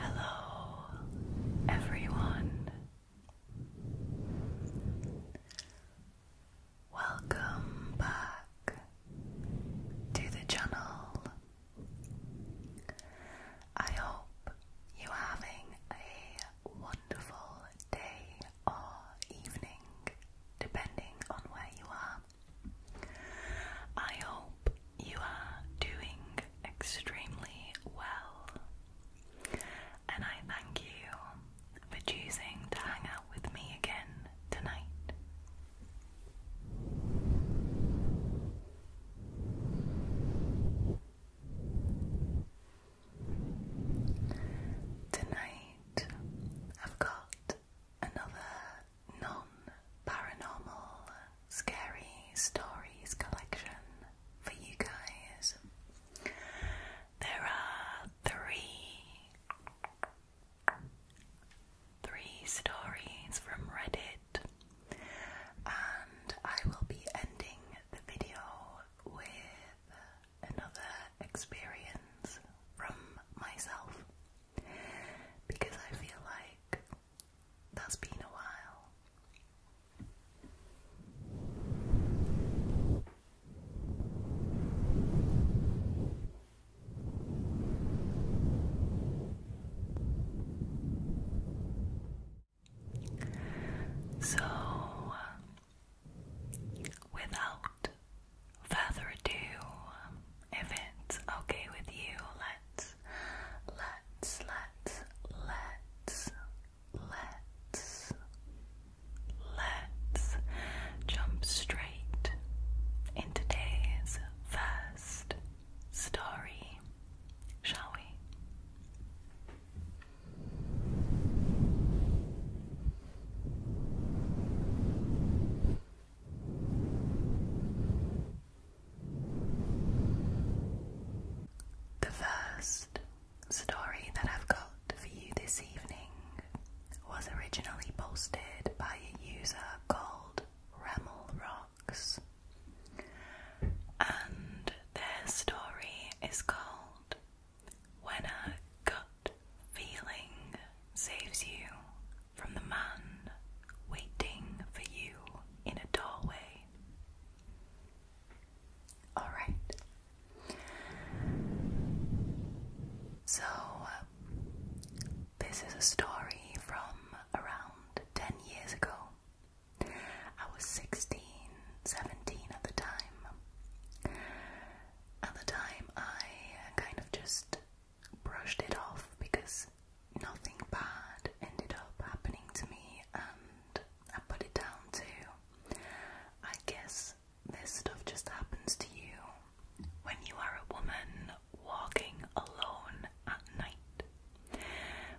Hello, everyone. Welcome back to the channel. I hope you're having a wonderful day or evening, depending on where you are. I hope you are doing extremely well, and I thank you for choosing to hang out with me again tonight. Tonight, I've got another non paranormal scary stories collection for you guys. There are three three stories from Reddit, and I will be ending the video with another experience from myself because I feel like that's been a while. So, without further ado, if it's okay with you, let's, let's, let's, let's, let's, let's jump straight into today's first first story, shall we? The first story that I've got for you this evening was originally posted by a user called Remmel Rocks. And their story is called When a Gut Feeling Saves You from the Man Waiting for You in a Doorway. Alright. So, this is a story from around 10 years ago. I was 16, 17 at the time. At the time, I kind of just brushed it off because nothing bad ended up happening to me, and I put it down to I guess this stuff just happens to you when you are a woman walking alone at night.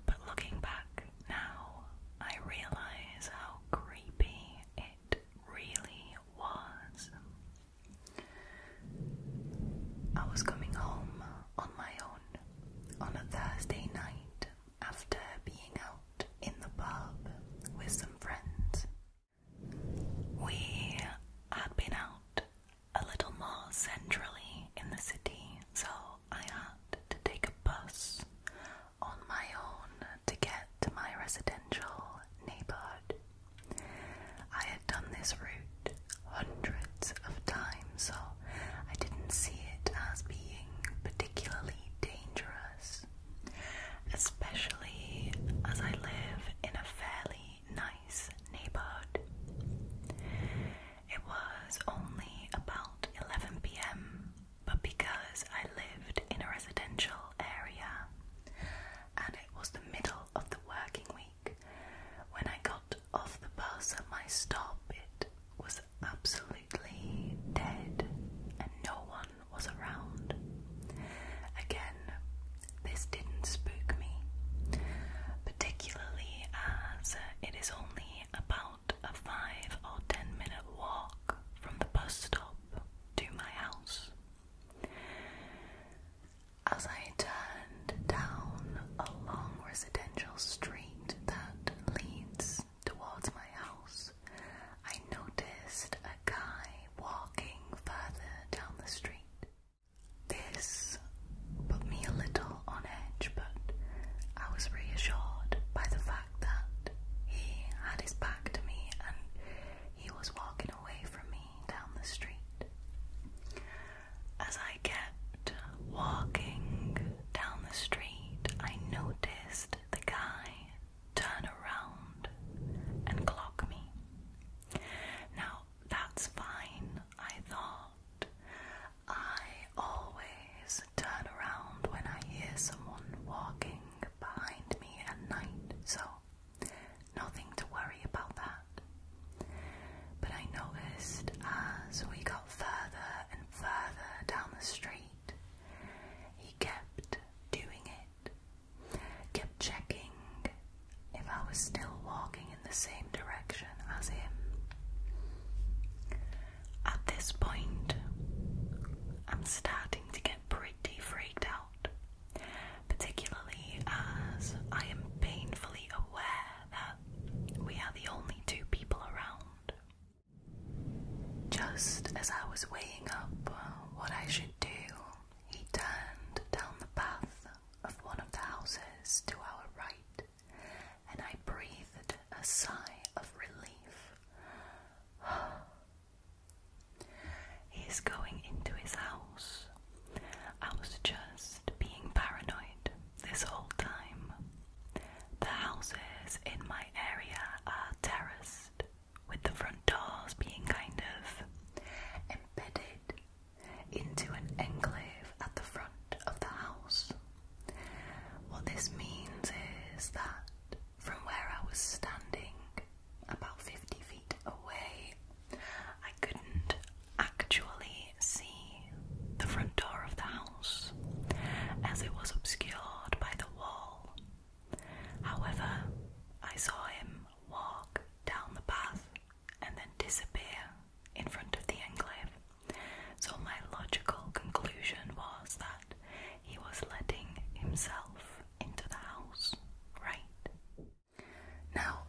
But looking back now, I realize how creepy it really was. I was coming home on my own on a Thursday night after being out in the pub with some friends. We had been out a little more centrally in the city, so I had to take a bus on my own to get to my residential neighborhood. I had done this route hundreds of times, so I didn't see it as being particularly dangerous, especially as I live in a fairly nice neighborhood. It was only about 11 pm, but because I lived in a residential area and it was the middle of the working week, when I got off the bus at my stop, it was absolutely dead and no one was around. Again, this didn't spook me, particularly as it is only about a five or ten minute walk from the bus stop to my house. As I turned down a long residential street that leads towards my house, I noticed a guy walking further down the street. This put me a little on edge, but I was reassured by the fact that he had his back to me and he was walking away from me down the street. As I kept walking down the street, I noticed the guy turn around and clock me. Now, that's fine, I thought. I always turn around when I hear someone walking behind me at night, so nothing to worry about that. But I noticed as we got further and further down the street, he kept doing it kept checking if I was still walking in the same direction as him. At this point, I'm starting to get pretty freaked out, particularly as I am painfully aware that we are the only two people around. Just as I was weighing up what I should do, he turned down the path of one of the houses to our right, and I breathed a sigh of relief. He's going into his house. I was just being paranoid this whole time. The houses in my area are terraced, with the front doors being kind of embedded into an enclave at the front of the house. What this means is that from where I was standing, about 50 feet away, I couldn't actually see the front door of the house as it was obscured by the wall. However, I saw him walk down the path and then disappear in front of the enclave. So, my logical conclusion was that he was letting himself into the house, right? Now,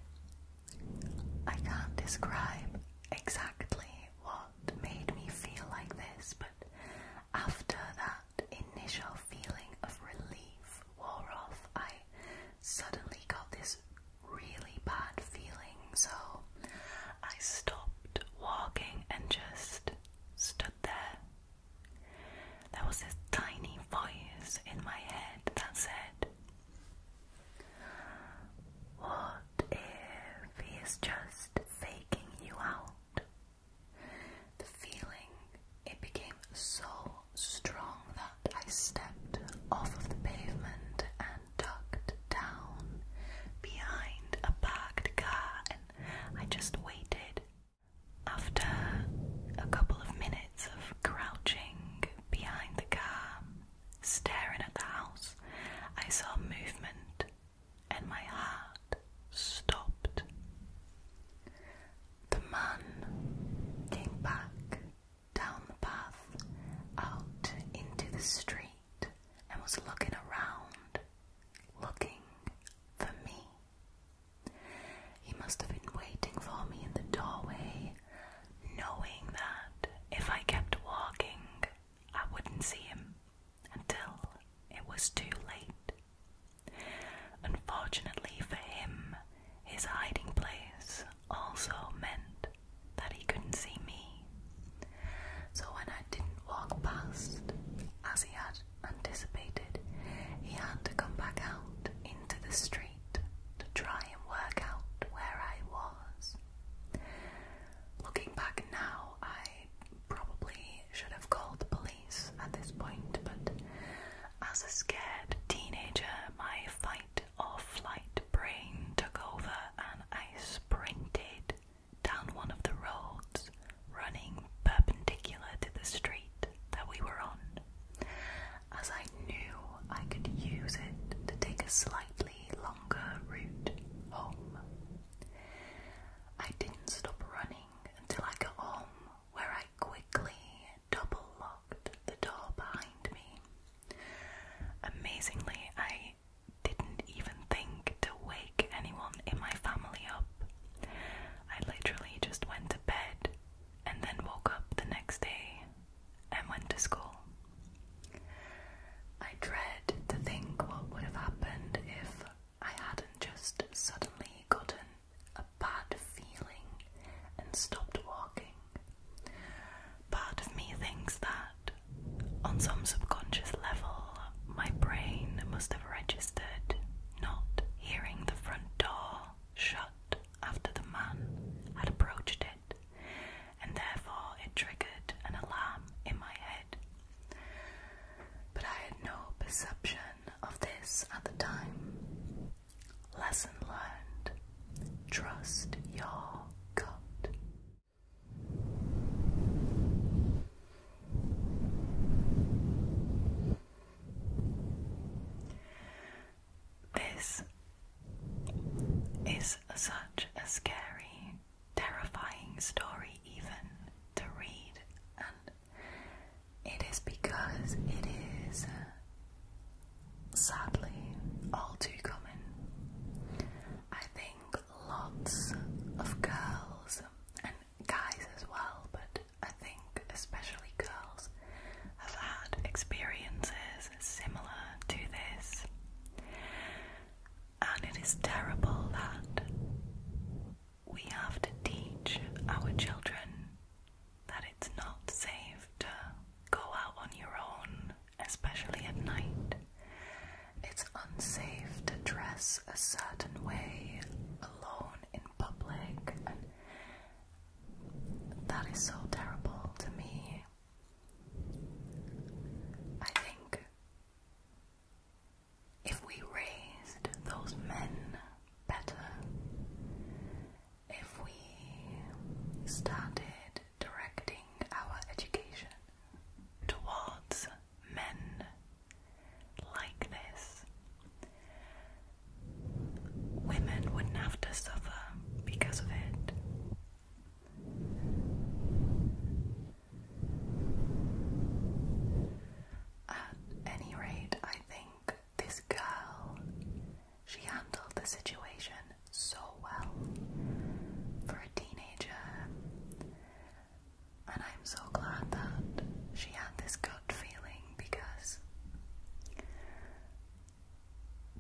I can't describe exactly what made me feel like this, but after that initial feeling of relief wore off, I suddenly got this really bad feeling, so I stopped walking and just stood there. There was this tiny voice in my head that said, What if he's just faking you out? The feeling, it became so strong that I stepped off of the pavement and ducked down behind a parked car and I just waited. After a couple of minutes of crouching behind the car, staring at the house, I saw movement and my heart stopped. The man came back down the path out into the street and was looking around, looking for me. He must have been waiting for me in the doorway, knowing that if I kept walking, I wouldn't see him until it was too late. Unfortunately for him, his hiding place also meant that he couldn't see me. So when I didn't walk past, as he had anticipated, he had to come back out into the street to try and work out where I was. Looking back now, I probably should have called the police at this point, but as a scared teenager, my fight or flight brain took over and I sprinted down one of the roads, running perpendicular to the street that we were on, as I knew I could use it to take a slightly longer route home. I didn't stop running until I got home where I quickly double locked the door behind me. Amazingly, I didn't even think to wake anyone in my family up. I literally just went to bed and then woke up the next day and went to school. I dread to think what would have happened if I hadn't just suddenly gotten a bad feeling and stopped walking. Part of me thinks that, on some subconscious level, my brain must have registered not hearing the front door shut after the man had approached it, and therefore it triggered an alarm in my head. But I had no perception of this at the time. Lesson learned. Trust your gut. This is such a scary, terrifying story, even to read and it is because it is uh, sadly all too common. I think lots of girls and guys as well, but I think especially girls have had experiences similar to this. And it is terrible that we have to teach our children that it's not safe to go out on your own, especially at night. It's unsafe to dress a certain way alone in public, and that is so terrible to me. I think if we raised those men better, if we started directing our education towards men like this, women wouldn't have to suffer because of it. At any rate, I think this girl, she handled the situation so well for a teenager. And I'm so glad that she had this gut feeling because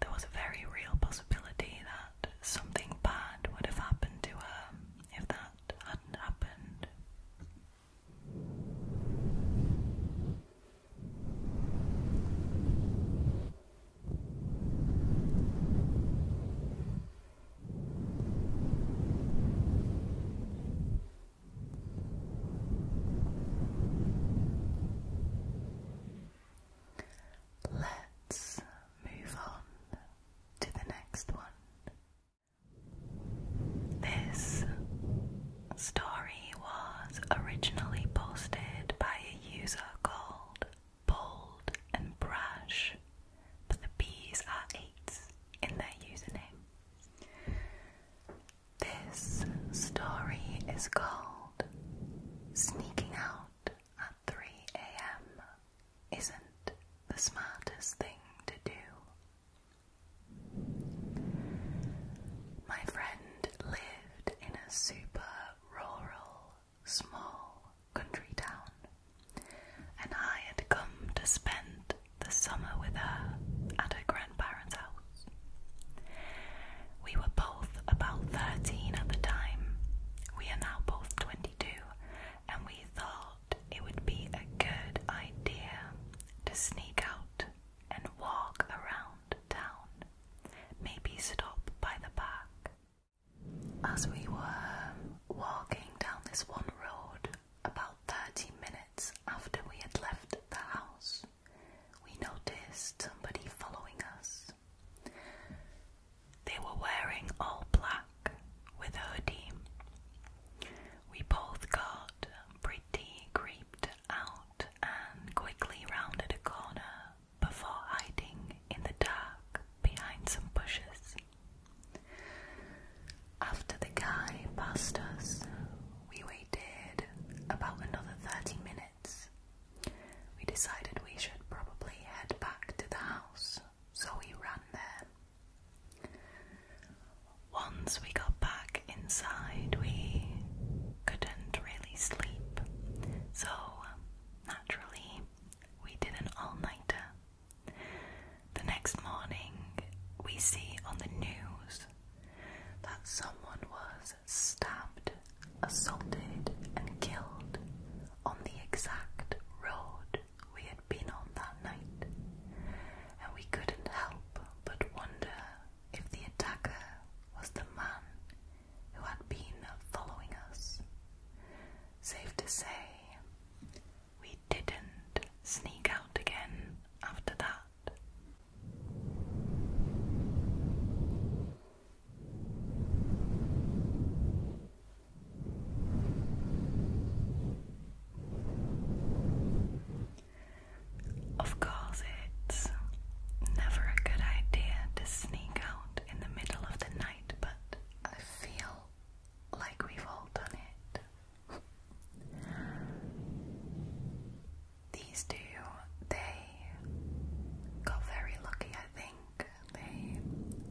there was a very real possibility that something bad would have happened to her if that hadn't happened. Let's move on to the next one. This story was originally posted by a user called Bold and Brash, but the B's are eights in their username. This story is called Sneaking Out at 3 a.m. Isn't the smartest thing to do. My friend lived in a super rural, small country town, and I had come to spend the summer with her at her grandparents' house. We were both about 13 at the time. We are now both 22, and we thought it would be a good idea to sneak out and walk around town, maybe stop by the park. As we were walking down this one road, about 30 minutes after we had left the house, we noticed somebody following us. They were wearing all black with a hoodie. We both got pretty creeped out and quickly rounded a corner before hiding in the dark behind some bushes. After the guy passed us, we waited about another 30 minutes. We decided we should probably head back to the house, so we ran there. Once we got back inside, we couldn't really sleep, so naturally, we did an all nighter. The next morning, we see on the news that someone was stabbed, assaulted, and killed on the exact road we had been on that night, and we couldn't help but wonder if the attacker was the man who had been following us. Safe to say, we didn't sneak out again after that. Of course, it's never a good idea to sneak out in the middle of the night, but I feel like we've all done it. These two, they got very lucky, I think. They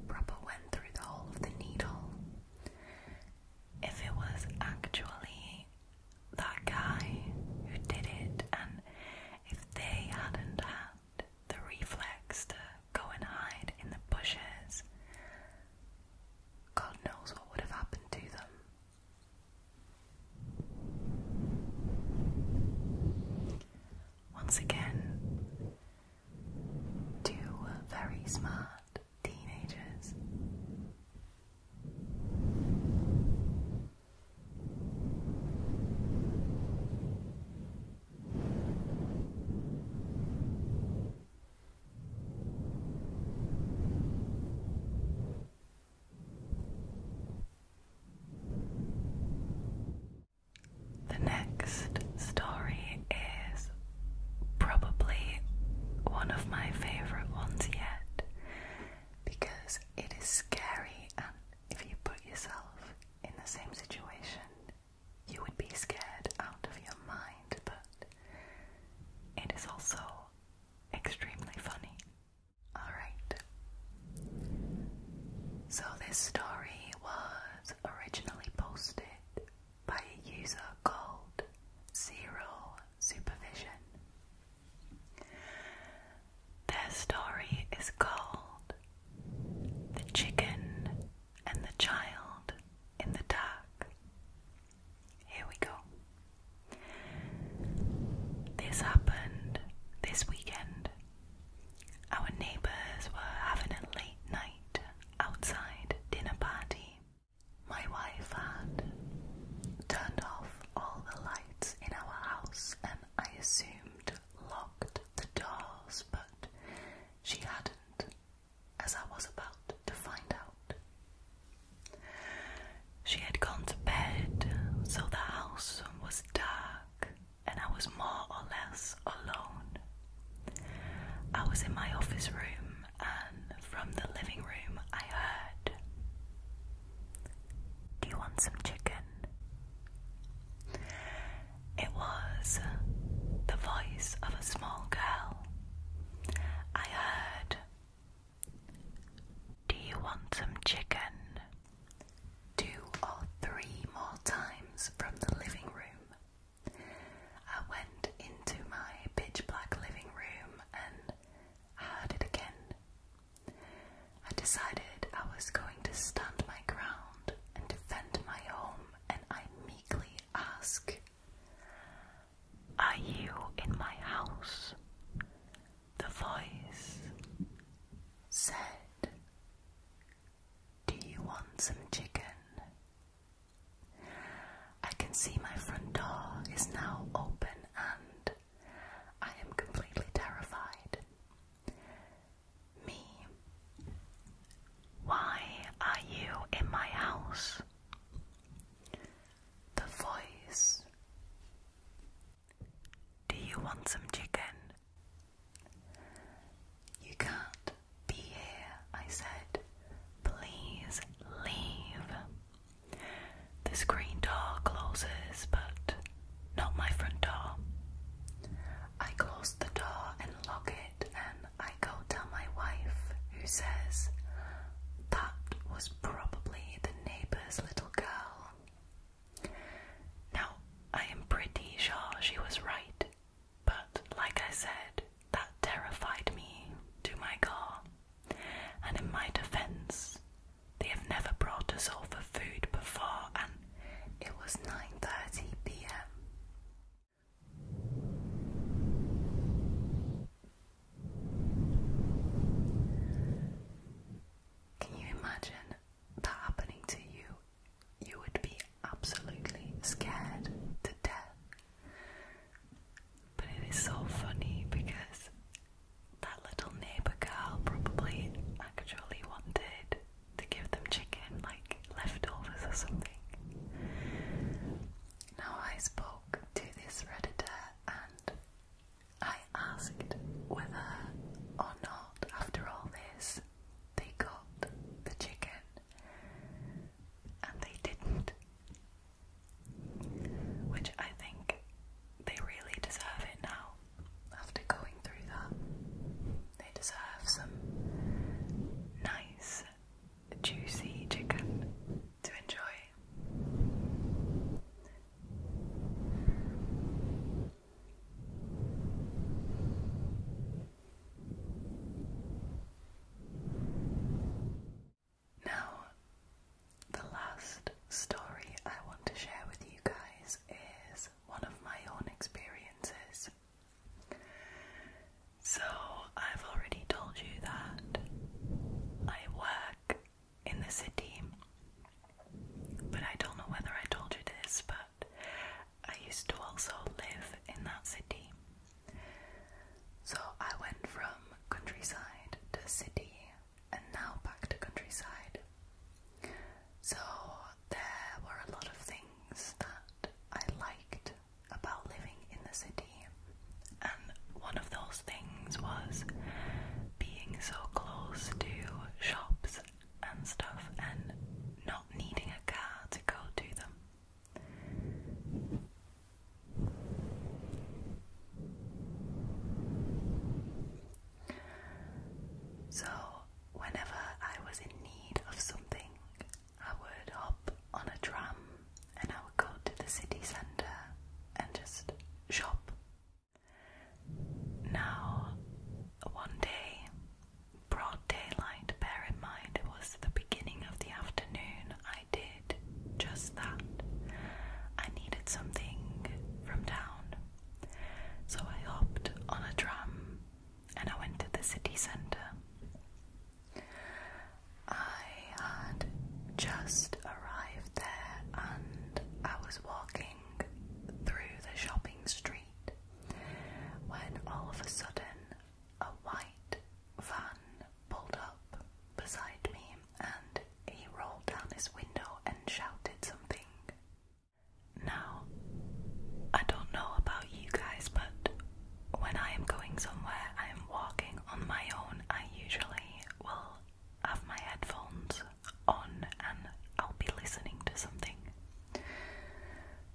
proper went through the whole of the needle if it was actually that guy who did it, and if they hadn't had the reflex to go and hide in the bushes, God knows what would have happened to them. Once again, Two very smart teenagers. The next story is probably one of my favourite ones yet because it is scary, and if you put yourself in the same situation, you would be scared out of your mind, but it is also extremely funny. Alright. So, this story was originally posted by a user called Zero Supervision. Their story is called The Chicken and the Child in the Dark. Here we go. This happened this weekend. Our neighbours were having a late night outside dinner party. My wife had turned off all the lights in our house and I assumed locked the doors, but she hadn't, as I was about to find out. She had gone to bed, so the house was dark and I was more or less alone I was in my office room, and from the living room, I heard, Do you want some chicken? It was the voice of a small girl. I heard, Do you want some chicken? Two or three more times from the living room. I went into my pitch black living room and heard it again. I decided I was going to stand my ground and defend my home, and I meekly ask, Are you in my house? The voice said, Do you want some chicken? I can see my front door is now open and I am completely terrified. Me, why are you in my house? The voice. Do you want some chicken? You can't be here. I said, please leave. The screen door closes, but not my front door. I close the door and lock it, and I go tell my wife, who says, That was probably the neighbor's little girl. Now, I am pretty sure she was right. But like I said, that terrified me to my core. And in my defense, they have never brought us over food before, and it was 9:30 p.m. Can you imagine that happening to you you would be absolutely scared to death. But it is so funny because that little neighbour girl probably actually wanted to give them chicken, like leftovers or something. Now, I spoke to this Redditor and I asked whether or not, after all this, they got the chicken and they didn't. Which I think they really deserve it now. After going through that, they deserve some nice, juicy chicken to enjoy. Now, the last story I want to share with you guys is one of my own experiences. So, I've already told you that I work in the city, but I don't know whether I told you this, but I used to also live in that city. So I went from countryside to city and now back to countryside. So there were a lot of things that I liked about living in the city, and one of those things was being so close to shops and stuff and not needing a car to go to them. So, whenever I was in need of something, I would hop on a tram and I would go to the city centre and just shop. Now, one day, broad daylight, bear in mind it was the beginning of the afternoon, I did just that. I needed something from town. So I hopped on a tram and I went to the city centre. I had just arrived there and I was walking through the shopping street when all of a sudden a white van pulled up beside me and he rolled down his window and shouted something. Now, I don't know about you guys, but when I am going somewhere, I am walking on my own, I usually will have my headphones on and I'll be listening to something.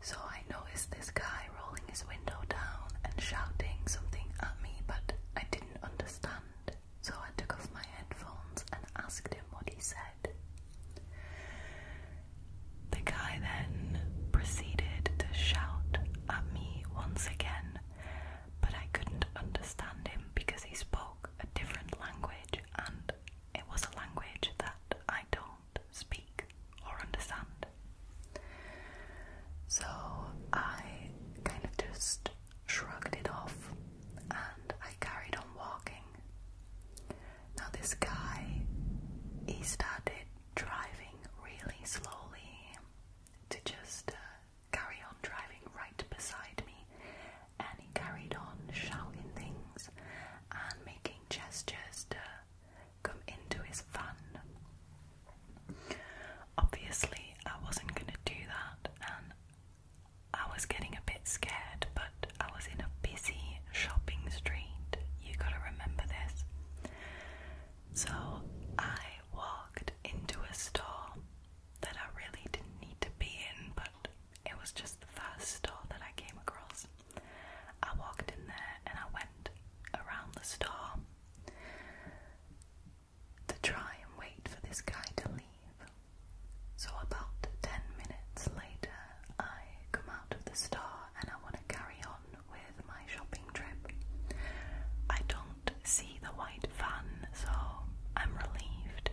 So I noticed this guy rolling his window down and shouting something at me, but I didn't understand. So I took off my headphones and asked him what he said. The guy then proceeded to shout at me once again, but I couldn't understand him because he spoke a different language and it was a language that I don't speak or understand. So I kind of just shrugged it off and I carried on walking. Now, this guy, he started driving really slowly to just uh, carry on driving right beside me, and he carried on shouting things and making gestures to come into his van. Obviously, I wasn't going to do that, and I was getting a bit scared, but I was in a busy shopping street. You gotta remember this. So I walked into a store that I really didn't need to be in, but it was just the first store that I came across. I walked in there and I went around the store to try and wait for this guy to leave. So, about 10 minutes later, I come out of the store and I want to carry on with my shopping trip. I don't see the white van, so I'm relieved.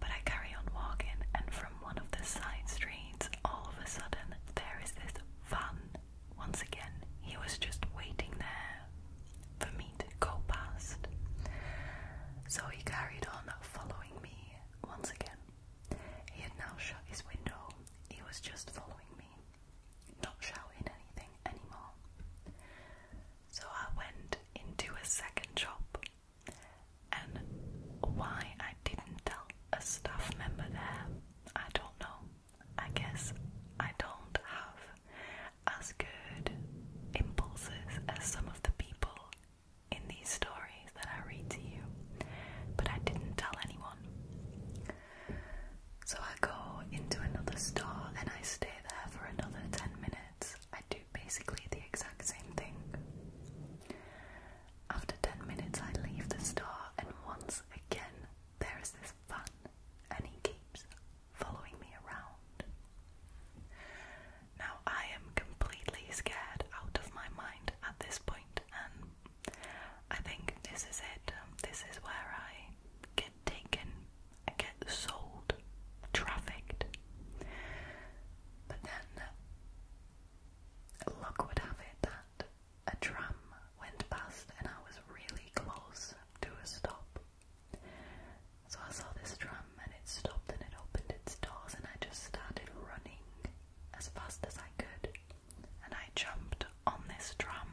But I carry on walking, and from one of the side streets, all of a sudden, there is this van. Once again, he was just waiting there for me to go past. So he carried on following me once again. He had now shut his window, he was just following me, not shouting anything anymore. So I went into a second shop and why I didn't tell a staff member there, I don't know. I guess I don't have as good impulses as some of the people in these stories that I read to you, but I didn't tell anyone. So I go into another store and I stay there for another 10 minutes I do basically the exact same thing. After 10 minutes, I leave the store, and once again, there is this fan, and he keeps following me around. Now, I am completely scared out of my mind at this point, and I think this is it. Um, this is where I get taken, I get sold, trafficked. But then Luck would have it that a tram went past and I was really close to a stop. So I saw this tram and it stopped and it opened its doors and I just started running as fast as I could. And I jumped on this tram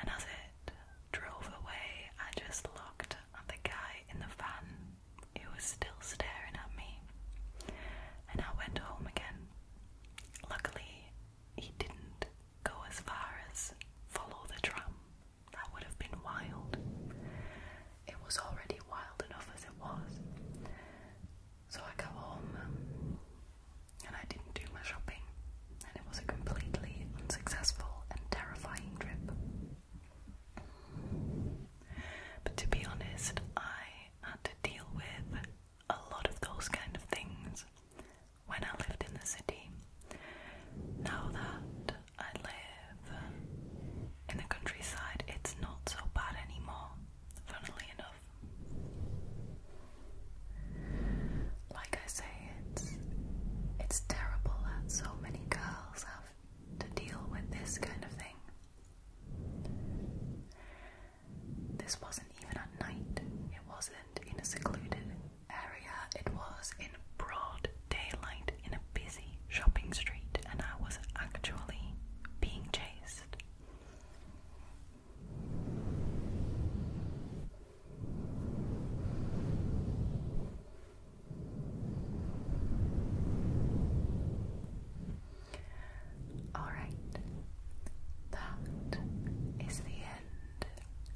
and as it drove away I just looked at the guy in the van it was still staring at me, and I went home again. Luckily, he didn't go as far as follow the tram. That would have been wild. It was already wild enough as it was. So I go home um, and I didn't do my shopping, and it was a completely unsuccessful and terrifying trip. But to be honest, I had to deal with a lot of those kind of things when I lived in the city. Now that I live in the countryside, it's not so bad anymore, funnily enough. Like I say, it's it's terrible that so many girls have to deal with this kind of thing. This wasn't even at night, it wasn't in a secluded area, it was in broad daylight in a busy shopping street, and I was actually being chased. Alright, that is the end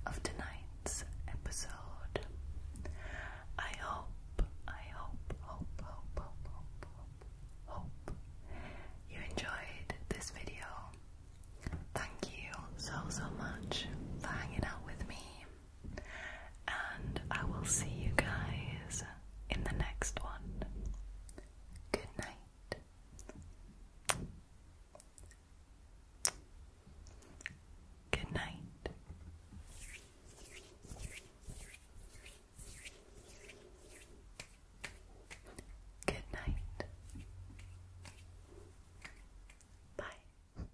of tonight's episode. I hope, I hope, hope, hope, hope, hope, hope, you enjoyed this video. Thank you so, so much for hanging out with me. And I will see you guys in the next one. Good night. Good night. Good night. Bye.